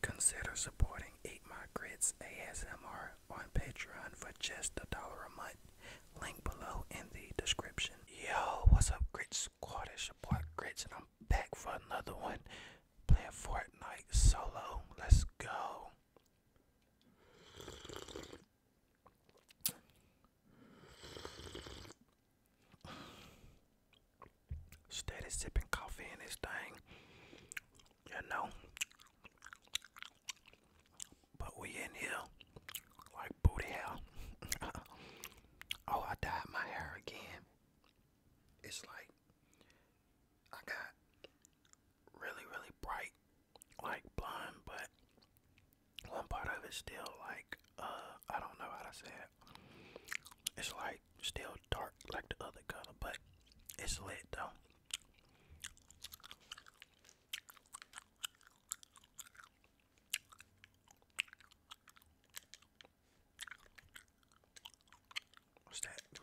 Consider supporting Eat My Grits ASMR on Patreon for just a dollar a month. Link below in the description. Yo, what's up, Grits Squad? It's your boy Grits, and I'm back for another one. Playing Fortnite solo. Let's go. Steady sipping coffee in this thing, you know. But we in here like booty hell. oh, I dyed my hair again. It's like I got really, really bright, like blonde, but one part of it's still like, uh, I don't know how to say it. It's like still dark like the other color, but it's lit though. What's that? Give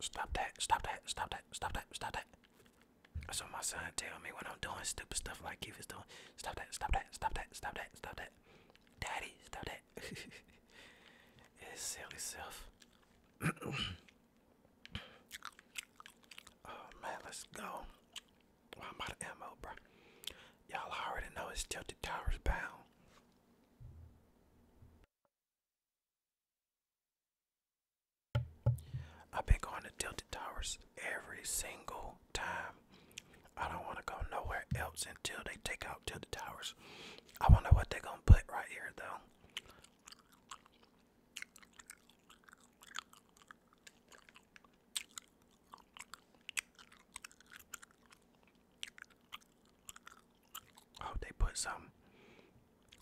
Stop that, stop that, stop that, stop that, stop that. That's what my son tell me when I'm doing stupid stuff like Keith is doing. Stop that, stop that, stop that, stop that, stop that. Daddy, stop that. it's silly self. oh man, let's go. Well, I'm out of ammo, bro. Y'all already know it's Tilted Towers bound. I've been going to Tilted Towers every single time. I don't want to go nowhere else until they take out Tilted Towers. I wonder what they're going to put right here, though hope they put some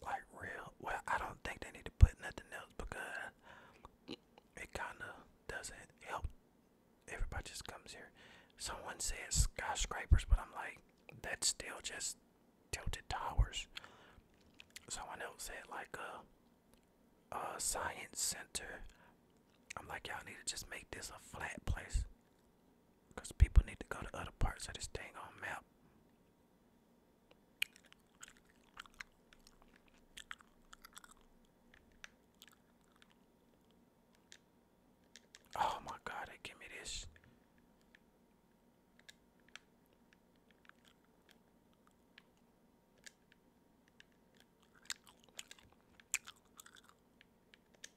like real. Well, I don't think they need to put nothing else because it kind of doesn't help. Everybody just comes here. Someone said skyscrapers, but I'm like, that's still just tilted towers. Someone else said like a, uh, a science center. I'm like, y'all need to just make this a flat place. Because people need to go to other parts of this thing on map. Oh my god, give me this.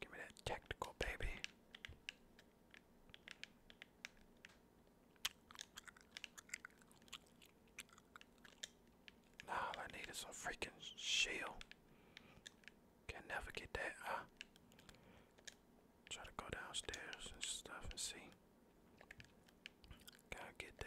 Give me that technical baby. Nah, all I need is a freaking shield. Can never get that, huh? Try to go downstairs and stuff and see. Gotta get that.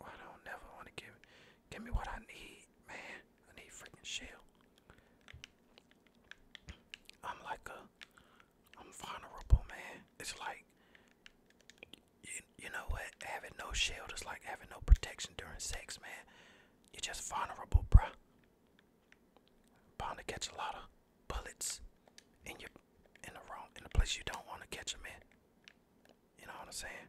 I don't never want to give give me what I need, man. I need freaking shell. I'm like a, I'm vulnerable, man. It's like, you, you know what? Having no shield is like having no protection during sex, man. You're just vulnerable, bruh. to catch a lot of bullets in your, in the wrong, in the place you don't want to catch them You know what I'm saying?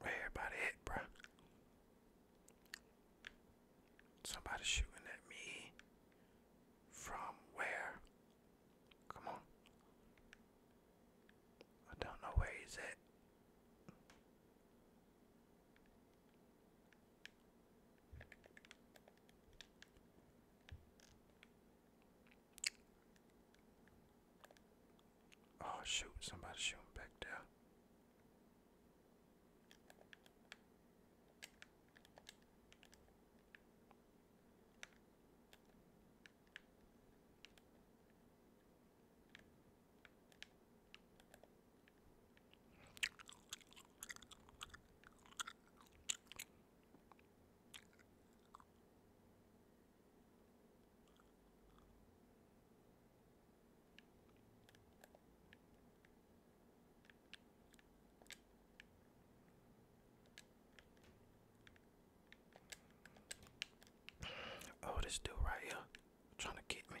Where everybody at, bruh? Somebody shooting at me. From where? Come on. I don't know where he's at. Oh shoot, somebody's shooting back there. Oh, this dude right here trying to get me.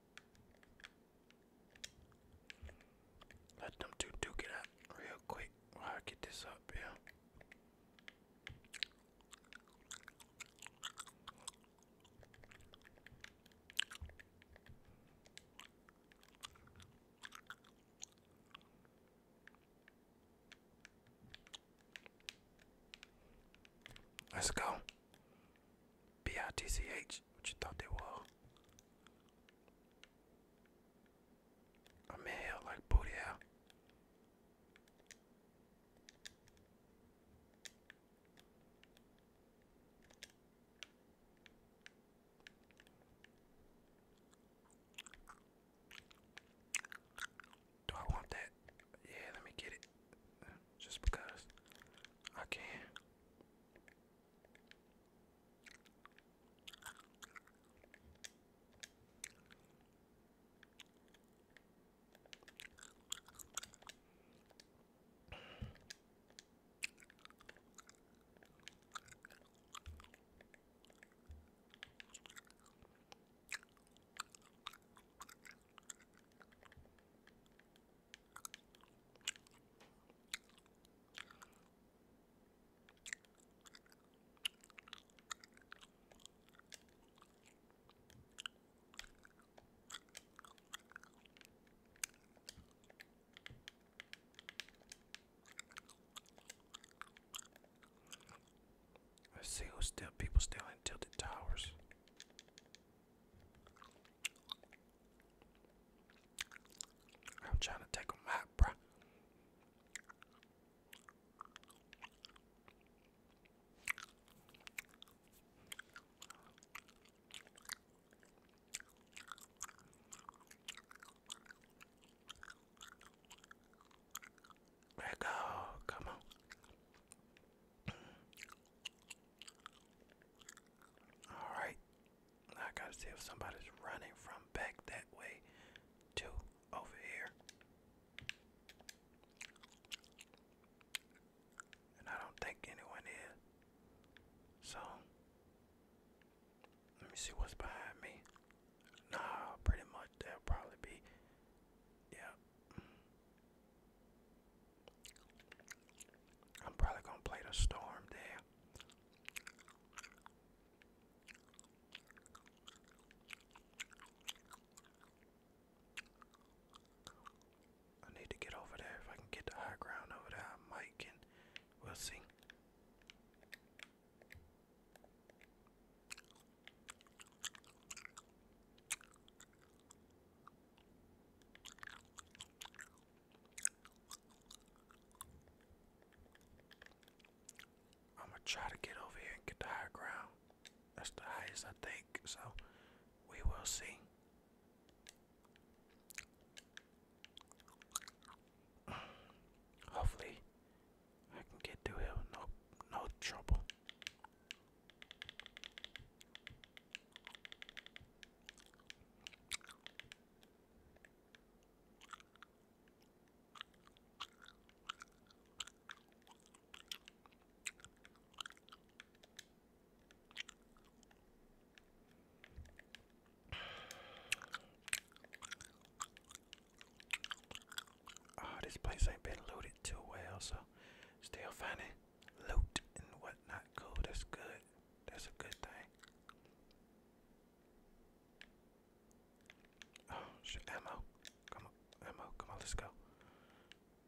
Let them do do it out real quick while I get this up Yeah. Let's go. B-I-T-C-H, what you thought they were? I'm in like booty out. Do I want that? Yeah, let me get it. Just because I can let see still people still in tilted towers. I'm trying to take a out, bro. Let go, come on. Alright. I gotta see if somebody's running from back that way to over here. And I don't think anyone is. So let me see what's behind me. Nah, pretty much that'll probably be yeah. I'm probably gonna play the storm there. I need to get over there. If I can get the high ground over there, I might We'll see. I'm gonna try to get over here and get the high ground. That's the highest, I think. So we will see. Hopefully, I can get to him, no, no trouble. Oh, this place ain't been looted too well, so still finding loot and whatnot. Cool, that's good. That's a good thing. Oh ammo. Come on, ammo, come on, let's go.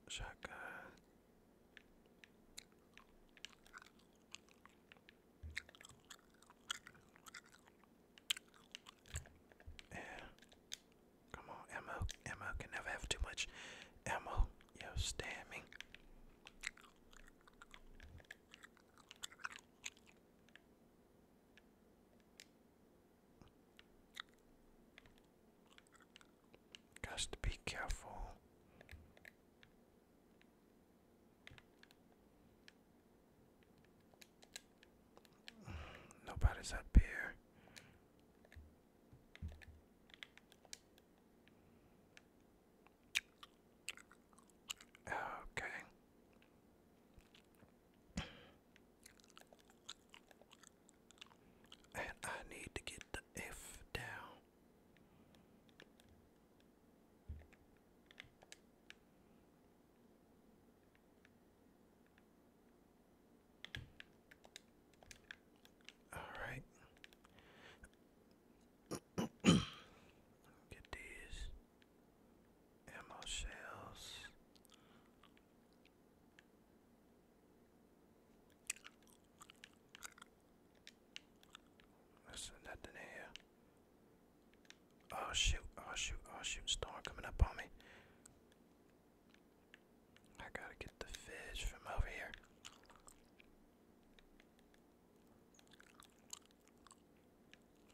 Shotgun. Yeah. Come on, ammo. Ammo can never have too much ammo. Yo, stamming. Got to be careful. Nobody's up here. Okay. And I need to get the F down. Alright. Get these ammo shells. There's nothing here. Oh shoot, oh shoot, oh shoot, storm coming up on me. I gotta get the fish from over here.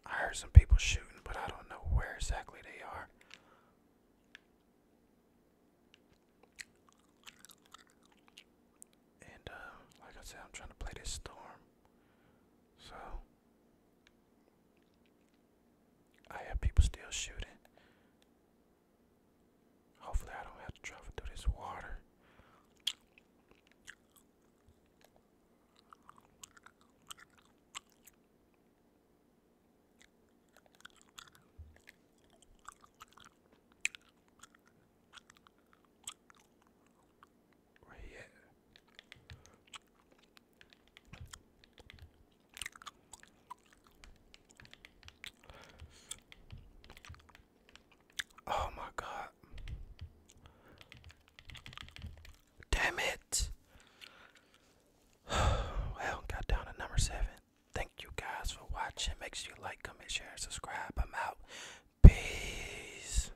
I heard some people shooting, but I don't know where exactly they are. And, uh, like I I'm trying to play this storm. So, I have people still shooting. Hopefully, I don't have to travel through this water. Oh my god. Damn it. well, got down to number seven. Thank you guys for watching. Make sure you like, comment, share, and subscribe. I'm out. Peace.